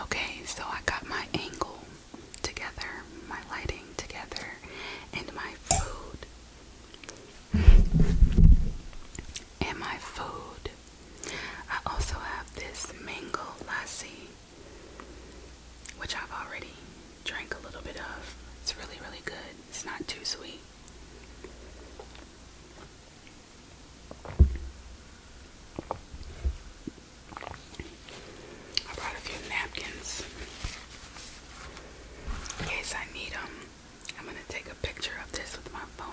Okay, so I got my angle together, my lighting together, and my food. and my food. I also have this mango lassi, which I've already drank a little bit of. It's really, really good. It's not too sweet. I brought a few napkins in case I need them. I'm going to take a picture of this with my phone.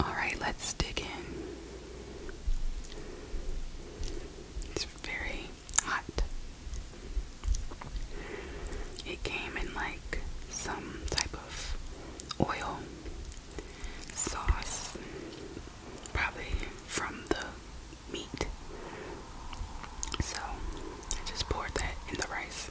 All right, let's dig in. It's very hot. It came in like some type of oil sauce, probably from the meat. So I just poured that in the rice.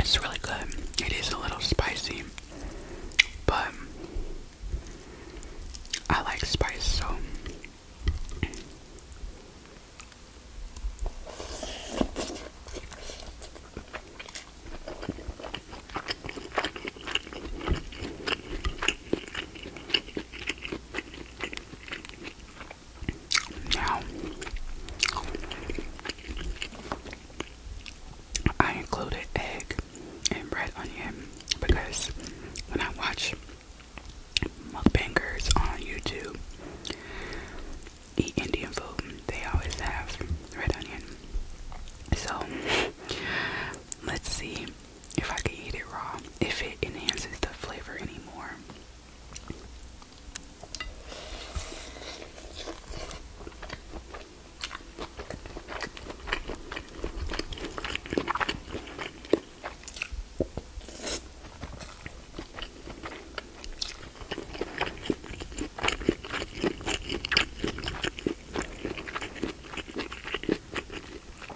It's really good. It is a little spicy, but I like spice, so I included egg and red onion because when I watch mukbangers on YouTube eat Indian food, they always have red onion. So, let's see if I could eat it raw, if it enhances the flavor anymore.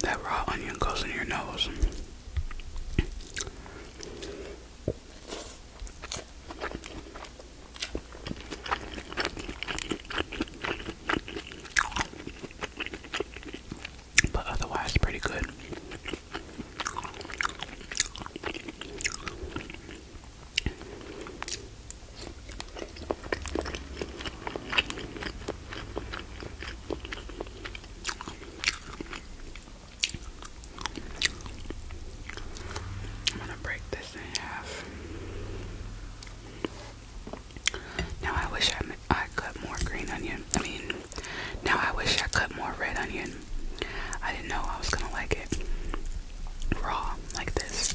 That raw onion goes in your nose. But otherwise, pretty good. I'm gonna break this in half. Now I wish I I cut more green onion. I mean, now I wish I cut more red onion. I didn't know I was gonna like it raw like this.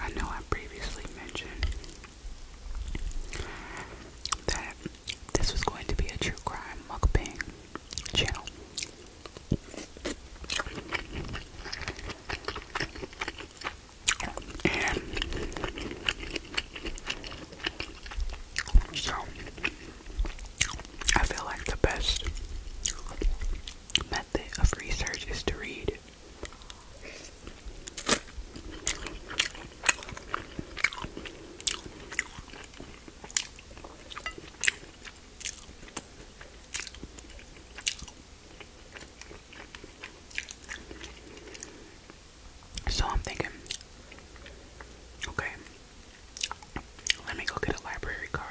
I know I previously mentioned that this was going to be a true crime mukbang channel. And so I feel like the best method of research is to read so I'm thinking, okay, let me go get a library card.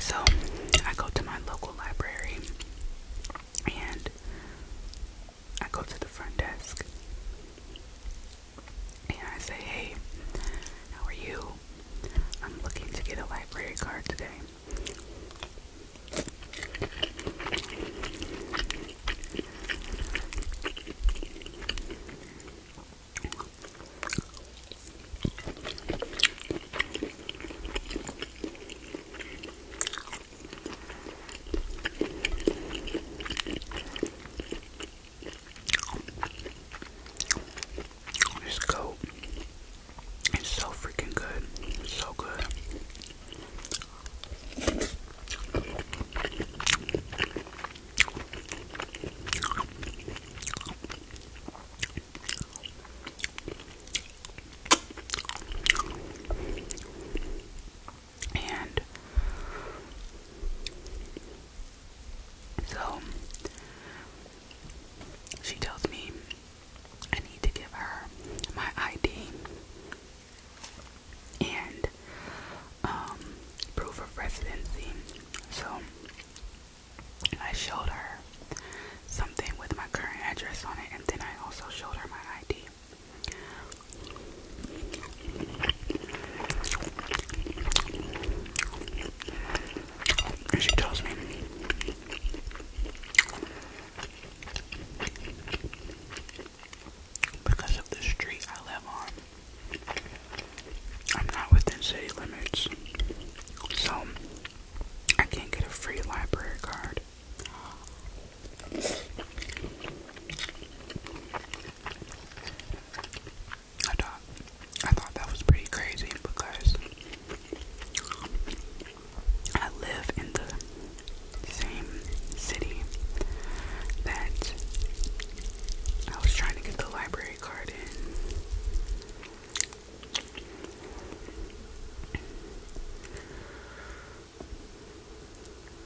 So I go to my local library and I go to the front desk and I say, hey, how are you? I'm looking to get a library card today. It's coat is so freaking good. It's so good. And so she tells me I need to give her my ID and um, proof of residency. So I showed her something with my current address on it, and then I also showed her my ID. And she tells me, because of the street I live on, I'm not within city limits, so I can't get a free library card. I thought I thought that was pretty crazy because I live in the same city that I was trying to get the library card in.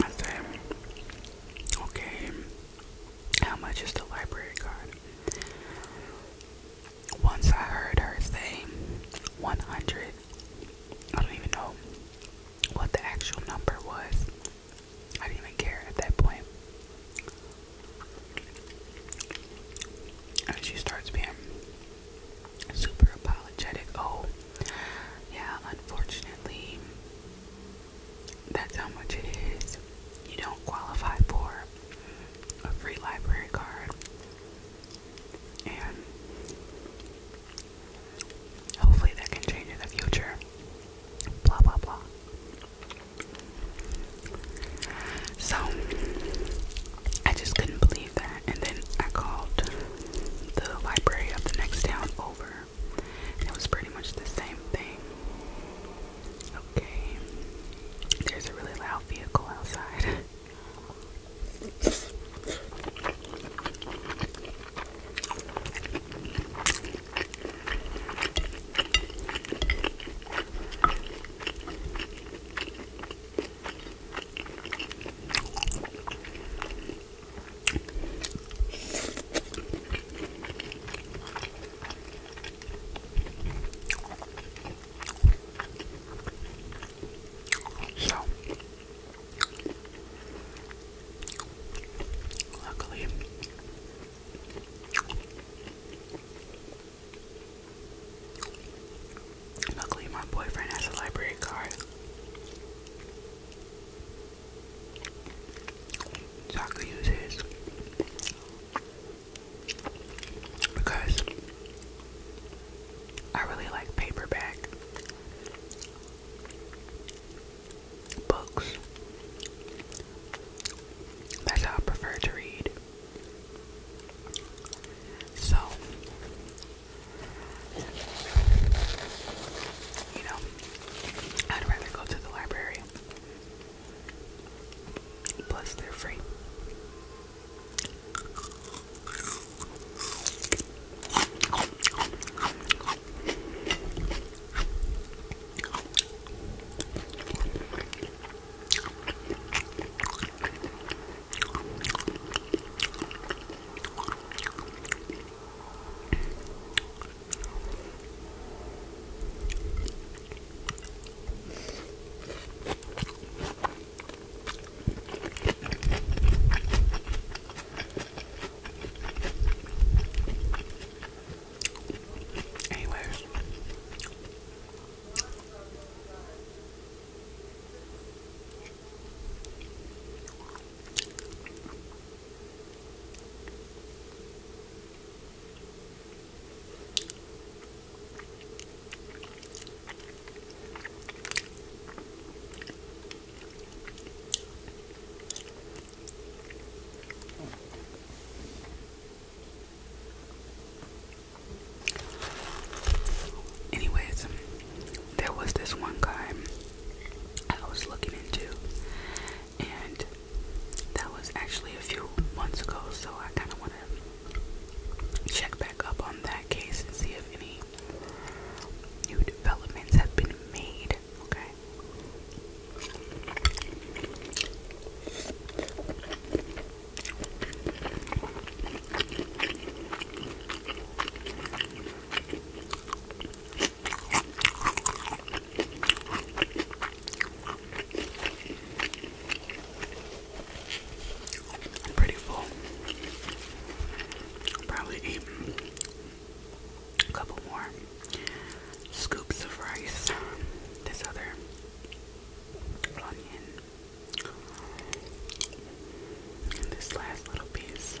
I said, okay, how much is the library card? Once I heard her say 100, I don't even know what the actual number was. I didn't even care at that point. And she starts being super apologetic. Oh, yeah, unfortunately, that's how much it is. You don't qualify for a free library card. And hopefully that can change in the future. Blah, blah, blah. So, I just couldn't believe that. And then I called the library of the next town over it was pretty much the same thing. Okay. There's a really loud vehicle outside. So, luckily, luckily, my boyfriend has a library card. So I could use his. Because I really like paperback books. That's how I prefer to read. So, you know, I'd rather go to the library. Plus, they're free. Anyways. Anyways, there was this one guy I was looking into, and that was actually a few months ago, so I kind of want to check back up on that case and see if any new developments have been made. Okay. I'm pretty full. Probably eat a couple more scoops of rice. This other onion. this last little piece.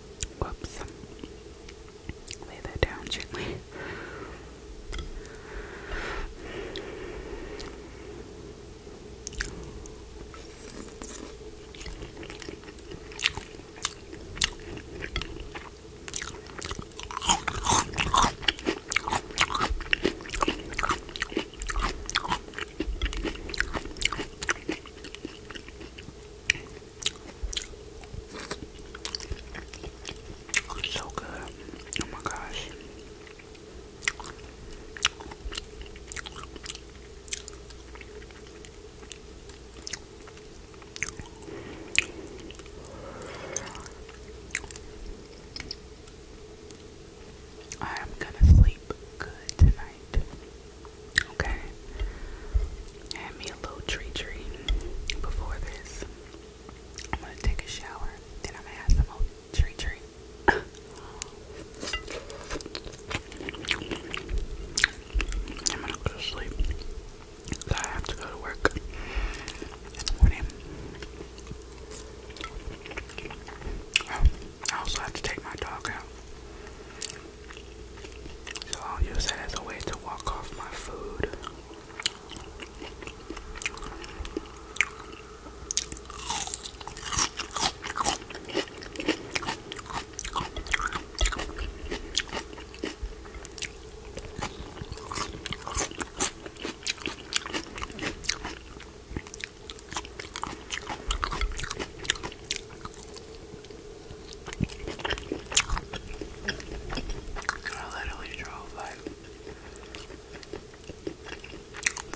Whoops. Lay that down gently so good. Oh my gosh. I'm gonna sleep good tonight. Okay. I me a little tree tree before this. I'm gonna take a shower, then I'm gonna have some old tree tree. I'm gonna go to sleep. Cause I have to go to work morning. Oh, I also have to take my dog out. So I'll use that as a way to walk off my food. I literally drove like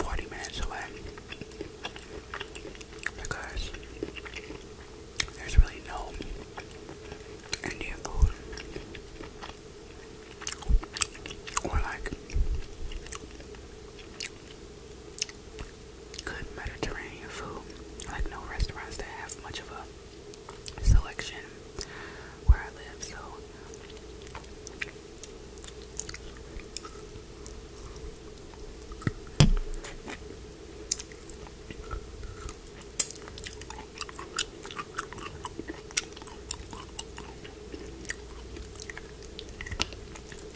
40 minutes away because there's really no Indian food or like good Mediterranean food. Like no restaurants that have much of a selection where I live, so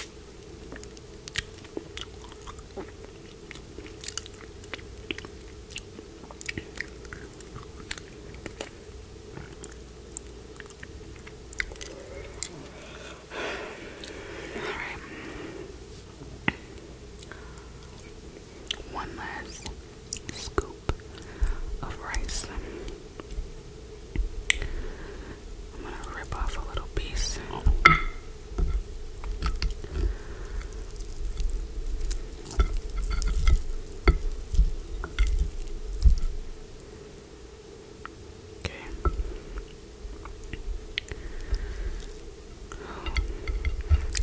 Alright. One last scoop of rice. I'm gonna rip off a little piece. Okay.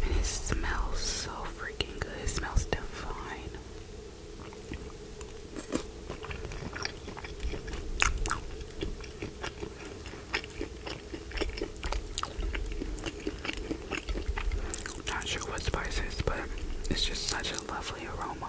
And it smells so freaking good. It smells divine. Not sure what spice is, but it's just such a lovely aroma.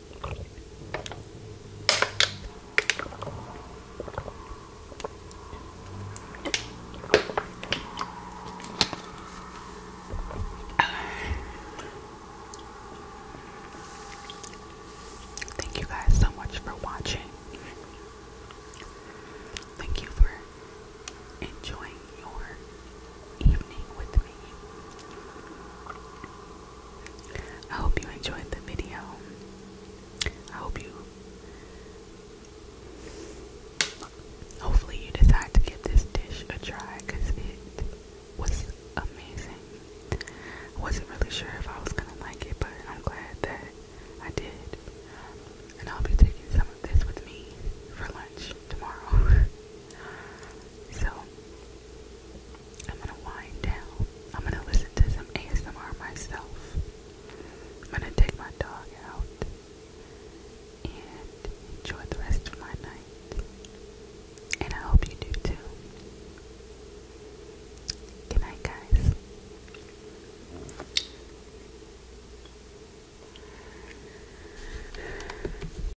Thank you guys so much for watching. Thank you for enjoying your evening with me. I hope you enjoyed the video. I hope you. Hopefully, you decide to give this dish a try because it was amazing. wasn't really sure if I was gonna like it, but I'm glad that I did. And I'll be taking some of this with me for lunch tomorrow. so, I'm gonna wind down. I'm gonna listen to some ASMR myself. I'm gonna take my dog out and enjoy the rest of my night. And I hope you do too. Good night, guys.